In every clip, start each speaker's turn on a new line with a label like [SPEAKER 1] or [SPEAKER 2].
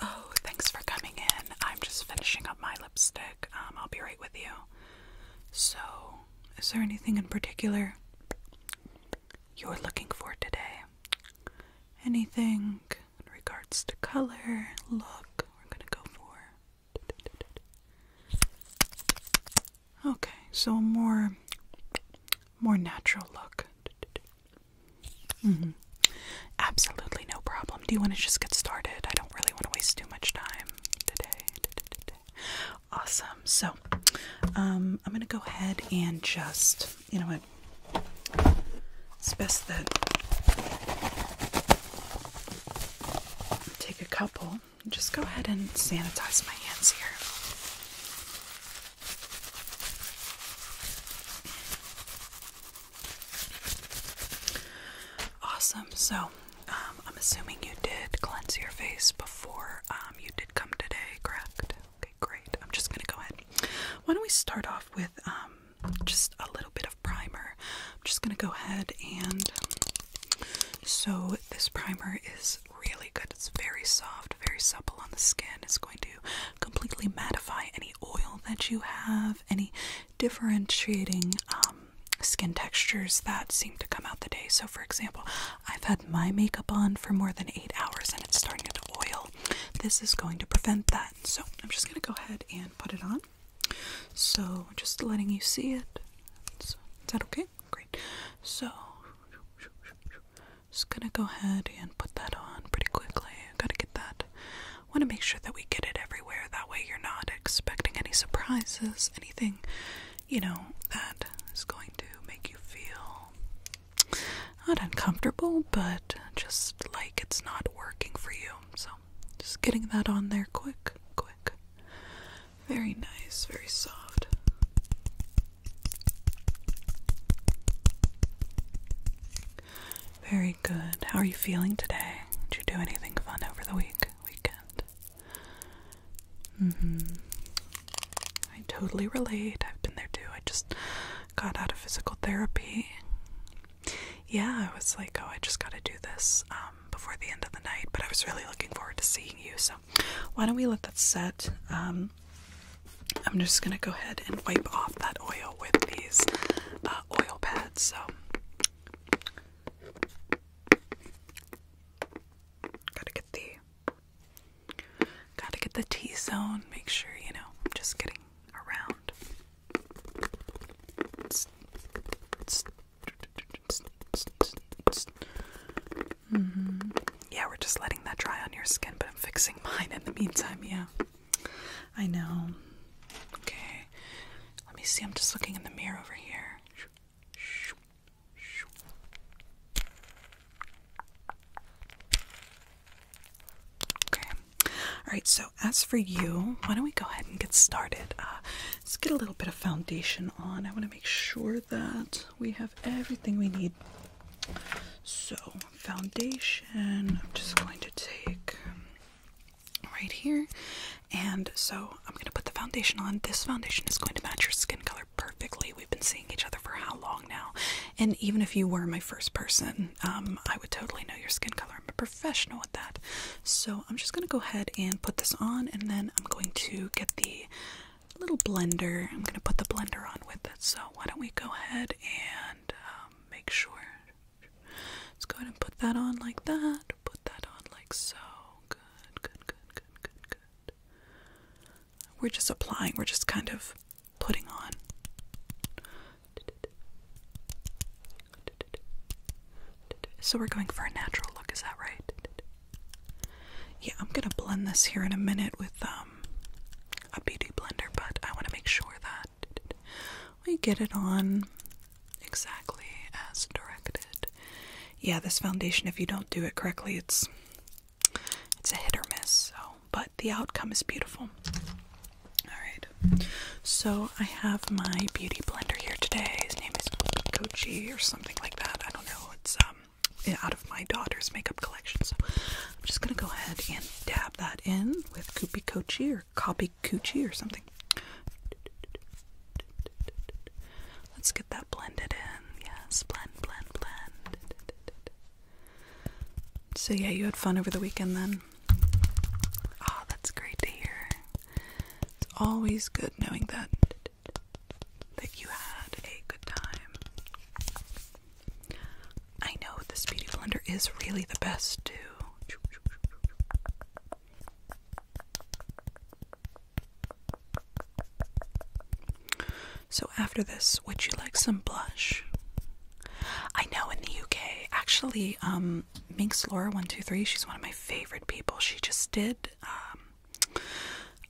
[SPEAKER 1] Oh, thanks for coming in. I'm just finishing up my lipstick. Um, I'll be right with you. So, is there anything in particular you're looking for today? Anything in regards to color, look, we're gonna go for. Okay, so more more natural look. Mm-hmm. Absolutely no problem. Do you want to just get started? I don't really want to waste too much time today. Awesome. So, um, I'm going to go ahead and just, you know what? It's best that take a couple. Just go ahead and sanitize my hands here. Awesome. So, um, I'm assuming you did cleanse your face before um, you did come today, correct? Okay, great. I'm just going to go ahead. Why don't we start off with um, just a little bit of primer? I'm just going to go ahead and. So, this primer is really good. It's very soft, very supple on the skin. It's going to completely mattify any oil that you have, any differentiating um, skin textures that seem to come out the day. So, for example, I've had my makeup on for more than eight hours and it's starting to oil. This is going to prevent that. So, I'm just going to go ahead and put it on. So, just letting you see it. Is that okay? Great. So, just gonna go ahead and put that on pretty quickly. Gotta get that. Want to make sure that we get it everywhere. That way, you're not expecting any surprises, anything, you know, that is going to make you feel not uncomfortable, but just like it's not working for you. So, just getting that on there quick, quick. Very nice, very soft. Very good. How are you feeling today? Did you do anything fun over the week weekend? Mm-hmm. I totally relate. I've been there too. I just got out of physical therapy. Yeah, I was like, oh, I just got to do this um, before the end of the night, but I was really looking forward to seeing you. So, why don't we let that set? Um, I'm just gonna go ahead and wipe off that oil with these uh, oil pads. So, gotta get the gotta get the T zone. Make sure you know I'm just getting around. Mm-hmm. Yeah, we're just letting that dry on your skin, but I'm fixing mine in the meantime. Yeah. I know. Okay. Let me see. I'm just looking in the mirror over here. Okay. All right. So, as for you, why don't we go ahead and get started? Uh, let's get a little bit of foundation on. I want to make sure that we have everything we need. So, foundation, I'm just going to take right here. And so, I'm going to put the foundation on. This foundation is going to match your skin color perfectly. We've been seeing each other for how long now? And even if you were my first person, um, I would totally know your skin color. I'm a professional at that. So, I'm just going to go ahead and put this on, and then I'm going to get the little blender. I'm going to put the blender on with it. So, why don't we go ahead and um, make sure. Let's go ahead and put that on like that. Put that on like so. Good, good, good, good, good, good. We're just applying, we're just kind of putting on. So we're going for a natural look, is that right? Yeah, I'm gonna blend this here in a minute with um um, a beauty blender, but I want to make sure that we get it on exactly as directed. Yeah, this foundation, if you don't do it correctly, it's it's a hit or miss. So, but the outcome is beautiful. All right. So I have my beauty blender here today. His name is Kochi or something like that. I don't know. It's um out of my daughter's makeup collection. So I'm just gonna go ahead and dab that in with Koopy Kochi or Copy Coochie or something. Let's get that blended in. Yes, blend, blend, blend. So, yeah, you had fun over the weekend then? Oh, that's great to hear. It's always good knowing that that you had a good time. I know the Speedy Blender is really the best too. So after this, would you like some blush? I know in the UK, actually, um, Minx Laura one two three. She's one of my favorite people. She just did um,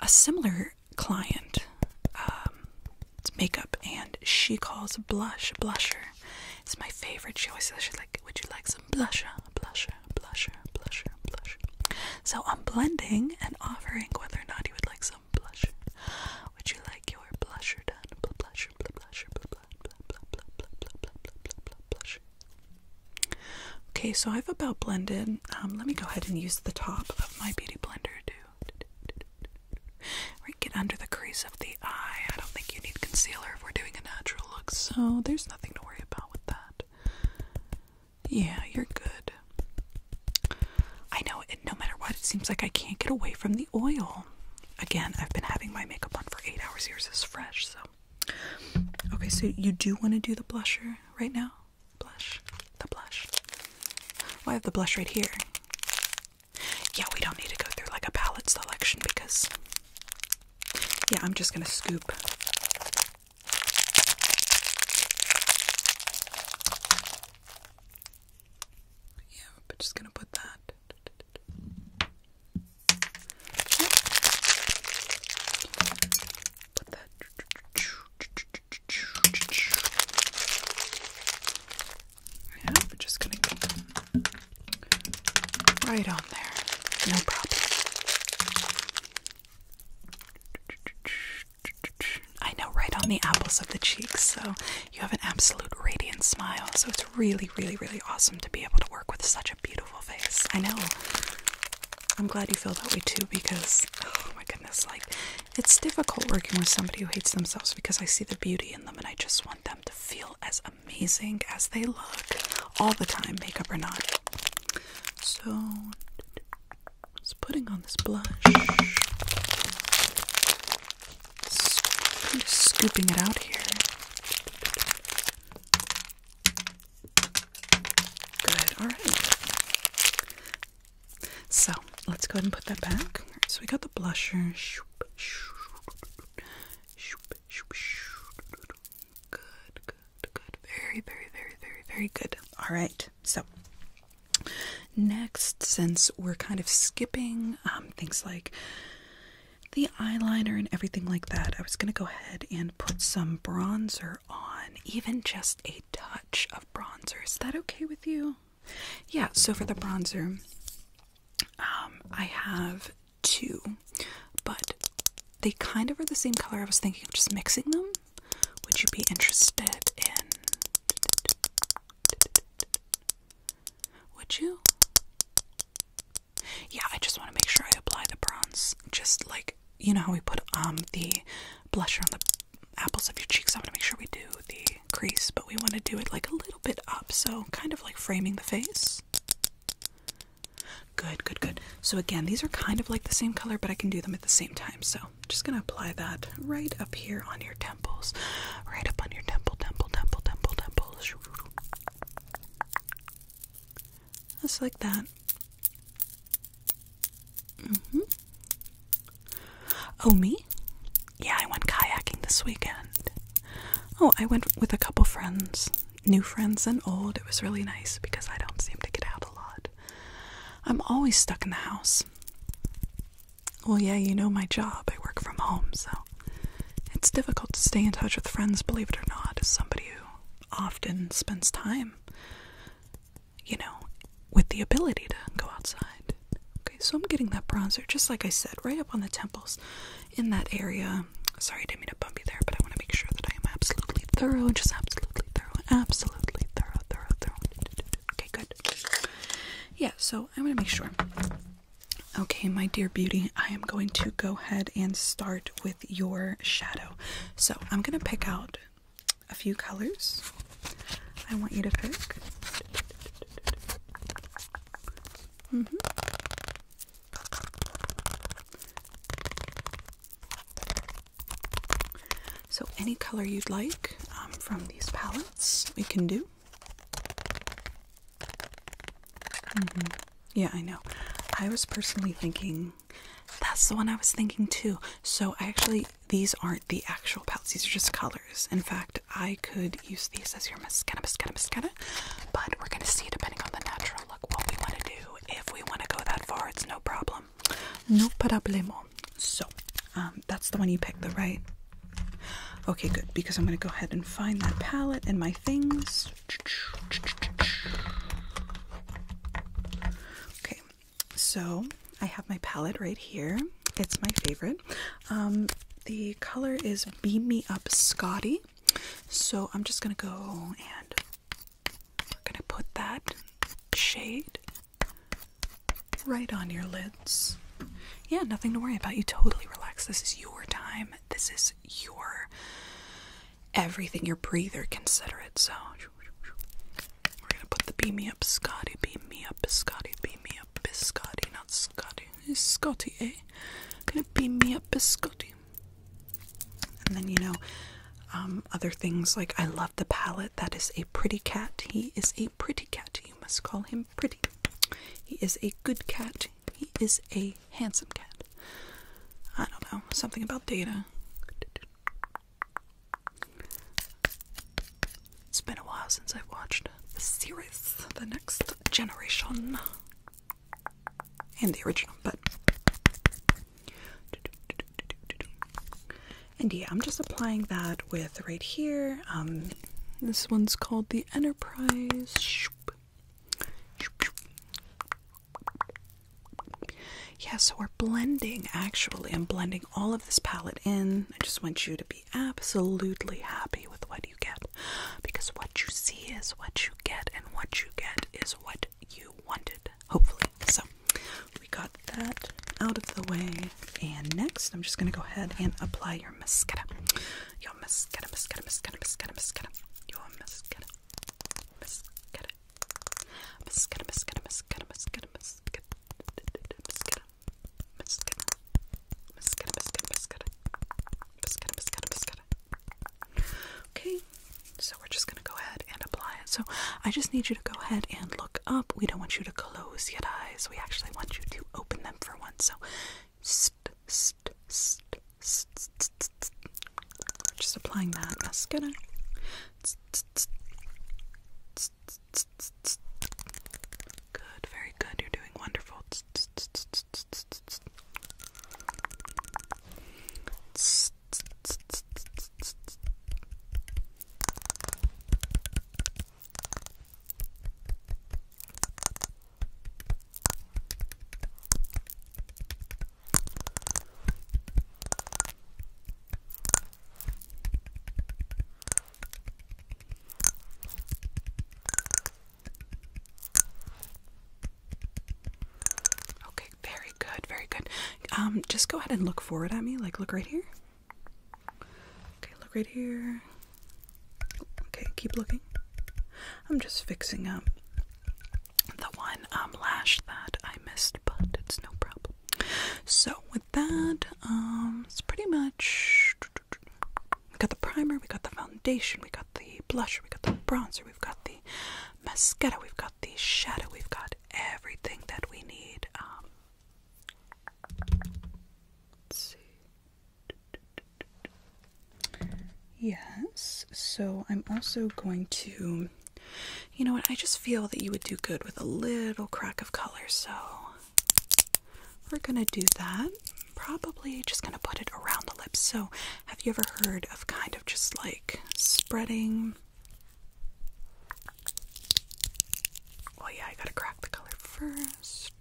[SPEAKER 1] a similar client um, it's makeup, and she calls blush blusher. It's my favorite. She always says, she's like, would you like some blusher, blusher, blusher, blusher, blush? So I'm blending and offering whether or not you would like some blusher. Would you like your blusher done? Bl blusher, bl blusher, bl bl bl bl bl bl bl bl bl bl blusher. Okay, so I've about blended. Um, let me go ahead and use the top of my beauty blender to right, get under the crease of the eye. I don't think you need concealer if we're doing a natural look, so there's nothing to worry about with that. Yeah, you're good. I know it, no matter what, it seems like I can't get away from the oil. Again, I've been having my makeup on for eight hours. Yours is fresh, so. Okay, so you do want to do the blusher right now? Blush. The blush. Why have the blush right here. Yeah, we don't need to go through like a palette selection because. Yeah, I'm just gonna scoop. Yeah, but just gonna put that. Put that yeah, we're just gonna get right on there. No problem. I know right on the apples of the cheeks, so you have an absolute radiant smile. So it's really, really, really awesome to be able to work with such a beautiful face. I know. I'm glad you feel that way too because, oh my goodness. It's like it's difficult working with somebody who hates themselves because I see the beauty in them and I just want them to feel as amazing as they look all the time, makeup or not. So, just putting on this blush. I'm just scooping it out here. Good, alright. So let's go ahead and put that back. Right, so we got the blusher. Good, good, good. Very, very, very, very, very good. All right. So next, since we're kind of skipping um, things like the eyeliner and everything like that, I was going to go ahead and put some bronzer on, even just a touch of bronzer. Is that okay with you? Yeah, so for the bronzer, um, I have two, but they kind of are the same color. I was thinking of just mixing them. Would you be interested in? Would you? Yeah, I just want to make sure I apply the bronze. Just like you know how we put um the blusher on the apples of your cheeks. I want to make sure we do the crease, but we want to do it like a little bit up, so kind of like framing the face. Good, good, good. So again, these are kind of like the same color, but I can do them at the same time. So just gonna apply that right up here on your temples, right up on your temple, temple, temple, temple, temples. Just like that. -hmm. Oh, me? Yeah, I went kayaking this weekend. Oh, I went with a couple friends, new friends and old. It was really nice because I don't seem to get out a lot. I'm always stuck in the house. Well, yeah, you know my job. I work from home, so it's difficult to stay in touch with friends, believe it or not, as somebody who often spends time, you know, with the ability to go outside. Okay, so I'm getting that bronzer, just like I said, right up on the temples in that area. Sorry, I didn't mean to bump you there, but I want to make sure that I am absolutely thorough, just absolutely thorough, absolutely thorough, thorough, thorough. Okay, good. Yeah, so I want to make sure. Okay, my dear beauty, I am going to go ahead and start with your shadow. So I'm going to pick out a few colors I want you to pick. Mm-hmm. So, any color you'd like um, from these palettes, we can do. Mm-hmm. Yeah, I know. I was personally thinking that's the one I was thinking too. So, I actually these aren't the actual palettes, these are just colors. In fact, I could use these as your mascara, mascara, mascara, but we're gonna see depending on the natural look what we wanna do. If we wanna go that far, it's no problem. No problema. So, um, that's the one you picked, the right? Okay, good, because I'm gonna go ahead and find that palette and my things. Okay, so I have my palette right here. It's my favorite. Um, the color is Beam Me Up Scotty. So I'm just gonna go and gonna put that shade right on your lids. Yeah, nothing to worry about. You totally relax. This is your time. This is your everything, your breather. Consider it. So we're gonna put the beam me up, Scotty, beam me up, Scotty, beam me up, Biscotti, not Scotty, it's Scotty, eh? Gonna beam me up, Biscotti. And then, you know, um, other things like I love the palette. That is a pretty cat. He is a pretty cat. You must call him pretty. He is a good cat. He is a handsome cat. I don't know. Something about data. It's been a while since I've watched the series, The Next Generation, and the original, but. And yeah, I'm just applying that with right here. Um, this one's called the Enterprise. Yeah, so we're blending actually. I'm blending all of this palette in. I just want you to be be absolutely happy with what you get because what you see is what you get, and what you get is what you wanted, hopefully. So, we got that out of the way, and next I'm just going to go ahead and apply your mascara. Your mascara, mascara, mascara, mascara, mascara. Your mascara, mascara, mascara, mascara, mascara, mascara, mascara, mascara, mascara, mascara, mascara, mascara, mascara, mascara, mascara. Okay, so we're just gonna go ahead and apply it. So I just need you to go ahead and look up. We don't want you to close your eyes. We actually want you to open them for once. So, st, st, just applying that mascara. Good, very good. You're doing wonderful. Okay, very good, very good. Um, just go ahead and look forward at me, like look right here. Okay, look right here. Okay, keep looking. I'm just fixing up the one um, lash that I missed, but it's no problem. So that, um, it's pretty much. We got the primer, we got the foundation, we got the blusher, we got the bronzer, we've got the mascara, we've got the shadow, we've got everything that we need. Um, Yes, so I'm also going to. You know what? I just feel that you would do good with a little crack of color, so we're gonna do that. Probably just gonna put it around the lips. So, have you ever heard of kind of just like spreading? Well, oh, yeah, I gotta crack the color first.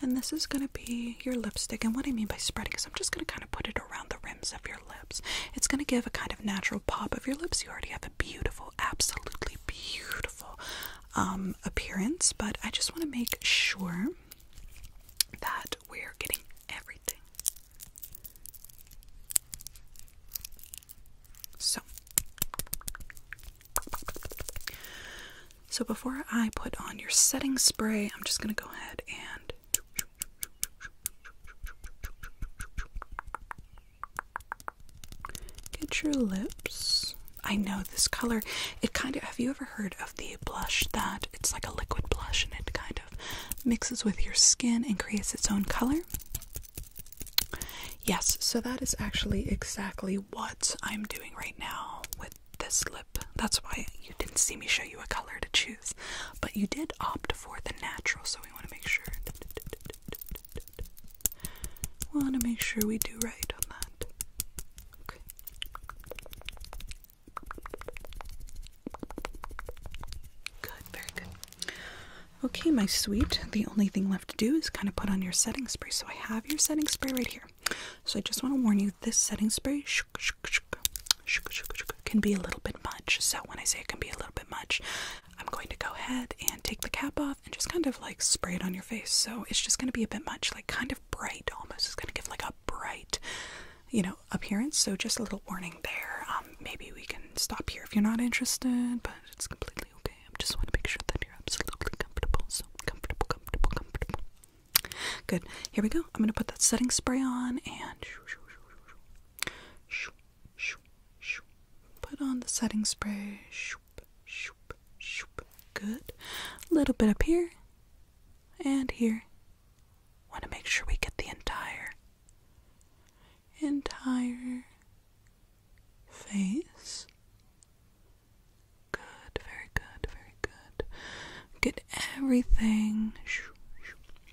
[SPEAKER 1] And this is gonna be your lipstick. And what I mean by spreading is I'm just gonna kind of put it around the rims of your lips. It's gonna give a kind of natural pop of your lips. You already have a beautiful absolutely beautiful um, appearance. But I just want to make sure that we're getting everything. So, so before I put on your setting spray, I'm just going to go ahead and Get your lips. I know this color. It kind of. Have you ever heard of the blush that it's like a liquid blush and it kind of mixes with your skin and creates its own color? Yes, so that is actually exactly what I'm doing right now with this lip. That's why you didn't see me show you a color to choose, but you did opt for the natural, so we want to make sure. We want to make sure we do right on that. Good, very good. Okay, my sweet, the only thing left to do is kind of put on your setting spray. So I have your setting spray right here. So I just want to warn you this setting spray can be a little bit much. So when I say it can be a little bit much, I'm going to go ahead and take the cap off and just kind of like spray it on your face. So it's just going to be a bit much, like kind of bright almost. It's going to give like a bright, you know, appearance. So just a little warning there. Um, maybe we can stop here if you're not interested, but it's completely okay. I just want to make sure that you're absolutely comfortable. So comfortable, comfortable, comfortable. Good. Here we go. I'm going to put that setting spray on and. Put on the setting spray. Good. little bit up here and here. Want to make sure we get the entire, entire face. Good, very good, very good. Get everything.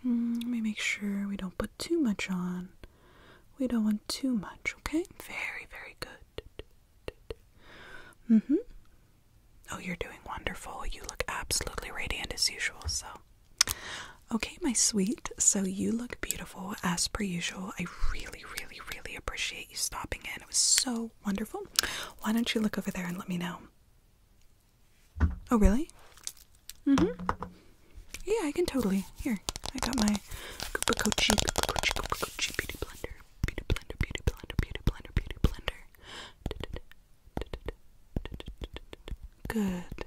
[SPEAKER 1] Mm, let me make sure we don't put too much on. We don't want too much, okay? Very, very good. Mm hmm. Oh, you're doing wonderful. You look absolutely radiant as usual, so. Okay, my sweet. So you look beautiful as per usual. I really, really, really appreciate you stopping in. It was so wonderful. Why don't you look over there and let me know? Oh, really? Mm hmm. Yeah, I can totally. Here, I got my Koopa Kochi, Koopa Kochi, Koopa Kochi Beauty Blender. Beauty Blender, Beauty Blender, Beauty Blender, Beauty Blender. Good.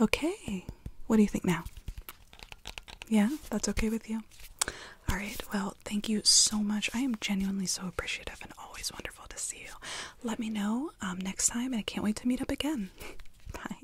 [SPEAKER 1] Okay. What do you think now? Yeah, that's okay with you? Alright, well, thank you so much. I am genuinely so appreciative and always wonderful to see you. Let me know um, next time, and I can't wait to meet up again. Bye.